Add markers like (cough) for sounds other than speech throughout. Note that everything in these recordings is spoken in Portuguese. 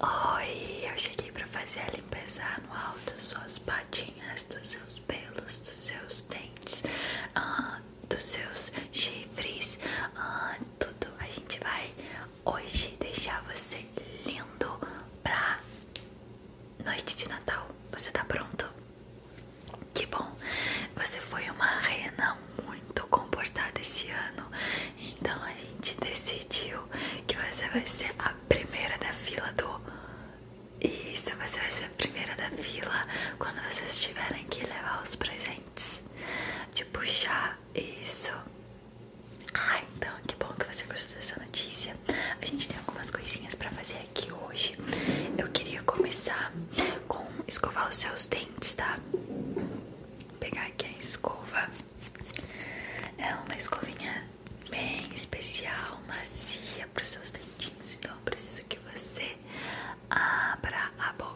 Oi, eu cheguei para fazer a limpeza anual das suas patinhas, dos seus pelos, dos seus dentes, ah, dos seus chifres, ah, tudo. A gente vai hoje deixar você lindo pra noite de Natal. Você tá pronto? Que bom! Você foi uma rena muito muito comportada esse ano, então a gente decidiu que você vai ser a primeira da fila do. Isso, você vai ser a primeira da fila quando vocês tiverem que levar os presentes. De puxar isso. Ah, então que bom que você gostou dessa notícia. A gente tem algumas coisinhas para fazer aqui hoje. Eu queria começar com escovar os seus dentes, tá? pegar aqui a escova é uma escovinha bem especial, macia para os seus dentinhos. Então preciso que você abra a boca.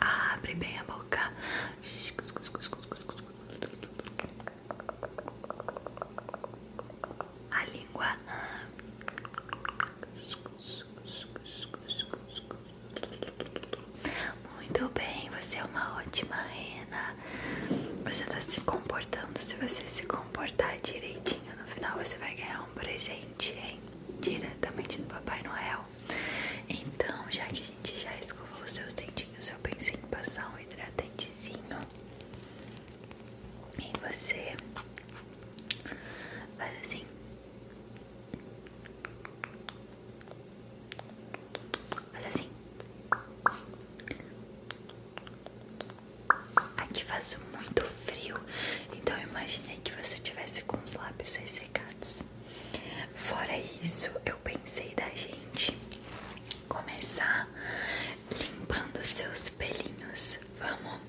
Abre bem a boca. A língua. Muito bem, você é uma ótima rena. Você tá se comportando. Se você se comportar direitinho, no final você vai ganhar um presente, hein? Diretamente do Papai Noel. Então, já que a gente já escovou os seus dentinhos, eu pensei em passar um hidratantezinho em você. Faz assim faz assim, aqui faz muito frio, então imaginei que você tivesse com os lábios ressecados. Fora isso, eu pensei da gente começar limpando seus pelinhos. Vamos?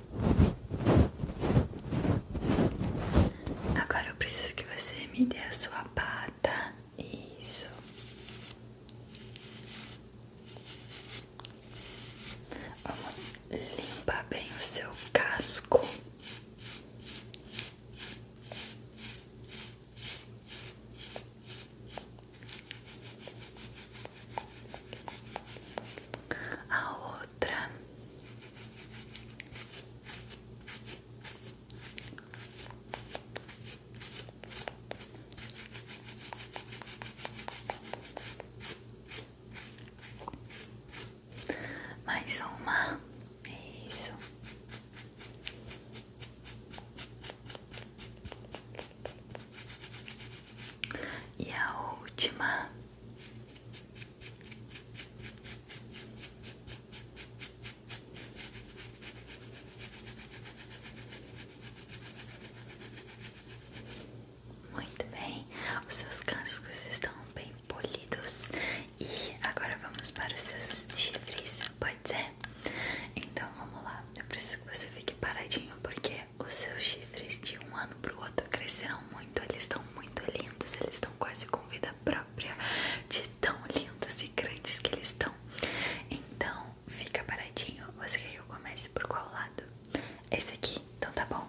Agora eu preciso que você me dê a sua pata. Isso. Vamos limpar bem o seu casco. A outra mais uma, isso. E a última, muito bem, os seus cascos estão bem polidos e agora vamos para os seus chifres, pode ser? Então vamos lá, eu preciso que você fique paradinho porque os seus chifres de um ano pro outro cresceram muito, eles estão muito lindos, eles estão quase com vida própria, de tão lindos e grandes que eles estão. Então, fica paradinho. Você quer que eu comece por qual lado? Esse aqui, então tá bom.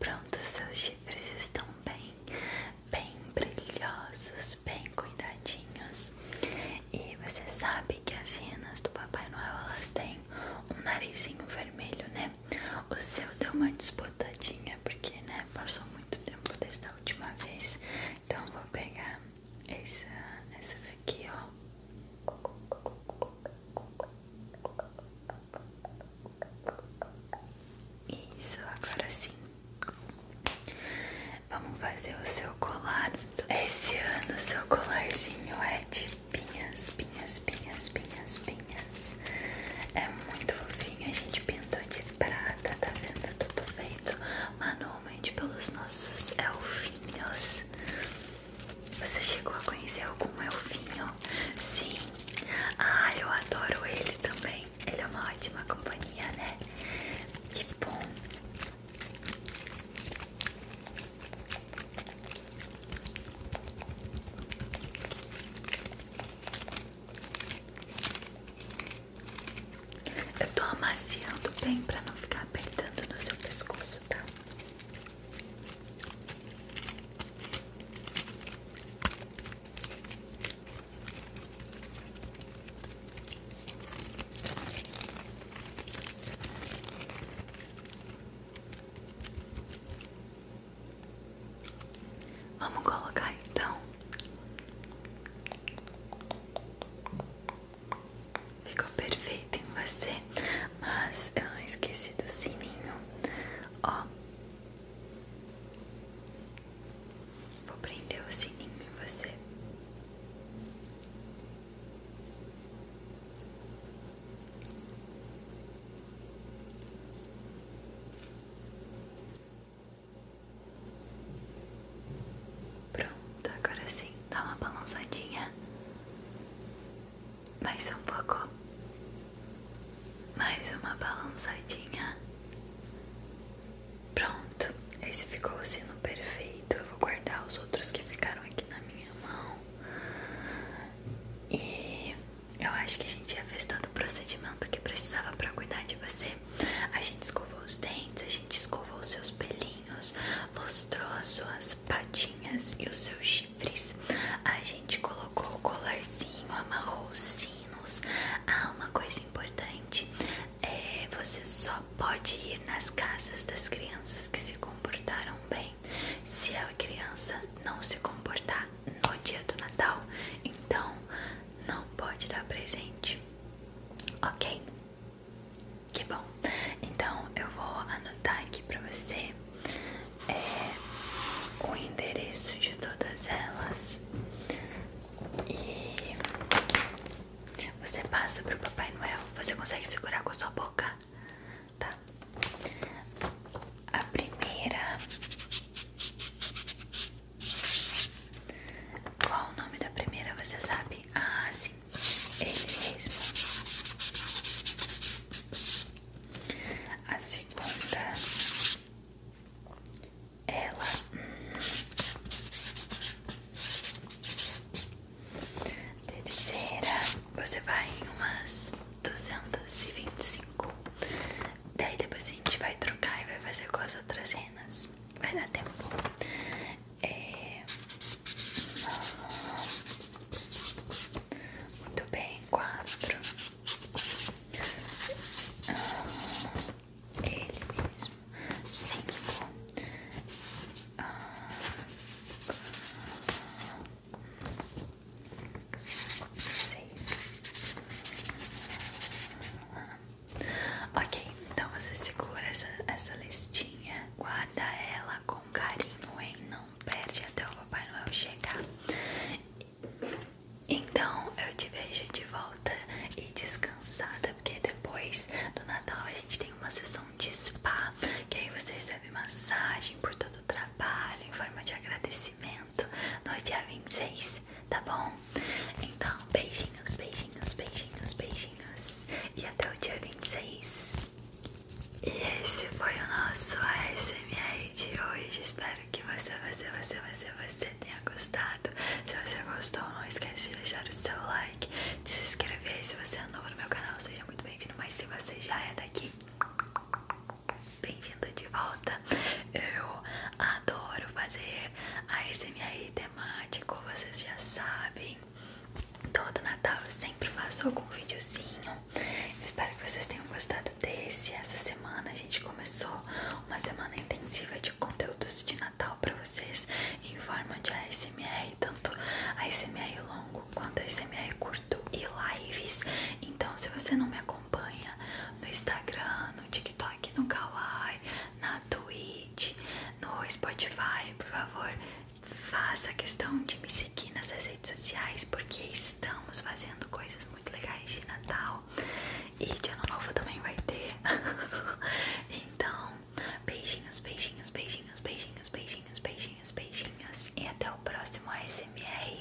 Pronto, seus chifres estão bem, bem brilhosos, bem cuidadinhos. E você sabe que as renas do Papai Noel elas têm um narizinho vermelho, né? O seu deu uma desbotadinha porque, né? Passou muito tempo desde a última vez. Então vou pegar essa, essa daqui, ó. Isso, agora sim. Vamos fazer o seu colar. Esse ano o seu colarzinho é de pinhas, pinhas, pinhas, pinhas, pinhas. É muito fofinho, a gente pintou de prata, tá vendo? Tudo feito manualmente pelos nossos elfinhos. Você chegou a conhecer algum elfinho? Sim. Ah, eu adoro ele também. Ele é uma ótima companhia, né? Que bom. Eu tô amaciando bem pra não ficar apertando no seu pescoço, tá? Vamos colocar então Ficou perfeito em você, mas eu não esqueci do sininho. Ó, vou prender o sininho em você. Pronto, agora sim, dá uma balançadinha. Mais um pouco. Mais uma balançadinha. Pronto, esse ficou o sino perfeito. Eu vou guardar os outros que ficaram aqui na minha mão. E eu acho que a gente já fez todo o procedimento que precisava para cuidar de você. A gente escovou os dentes, a gente escovou os seus pelinhos olhinhos, as suas patinhas e os seus chifres. A gente colocou o colarzinho, amarrou os sinos. Ah, uma coisa importante: é, você só pode ir nas casas das crianças que se comportaram bem. Se a criança não se comportar no dia do Natal, então não pode dar presente. Ok? Que bom. Então eu vou anotar aqui para você é, o endereço de todas elas e você passa pro Papai Noel. Você consegue segurar com a sua boca, tá? A primeira qual o nome da primeira você sabe? Ah, sim, ele mesmo. A segunda, ela. Terceira, você vai em umas 225. Daí depois a gente vai trocar e vai fazer com as outras renas. Vai dar tempo. É... Muito bem, quatro. Ah, ele mesmo. Cinco. Ah, seis. Ah, Ok, então você segura essa, listinha, guarda ela com carinho, hein? Não perde até o Papai Noel chegar. Então eu te vejo de volta e descansada, porque depois do Natal a gente tem uma sessão de spa, que aí você recebe massagem por todo o trabalho em forma de agradecimento no dia 26 tá bom? Então, beijinhos, beijinhos, beijinhos, beijinhos. E até o dia 26. E esse foi o nosso ASMR de hoje. Espero que você, você, você, você, você tenha gostado. Se você gostou, não esqueça de deixar o seu like, de se inscrever. Se você é novo no meu canal, seja muito bem-vindo. Mas se você já é daqui, bem-vindo de volta. Eu Adoro fazer ASMR temático, vocês já sabem. Todo Natal eu sempre faço algum videozinho. espero que vocês tenham gostado desse. Essa semana a gente começou uma semana intensiva de conteúdos de Natal para vocês em forma de ASMR, tanto ASMR longo quanto ASMR curto e lives. Então, se você não me acompanha no Instagram, no TikTok, no Kawaii, na Twitch, no Spotify, por favor, faça questão de me seguir nas redes sociais, porque estamos fazendo coisas muito legais de Natal e de Ano Novo também vai ter. (laughs) então, beijinhos, beijinhos, beijinhos, beijinhos, beijinhos, beijinhos, beijinhos e até o próximo ASMR.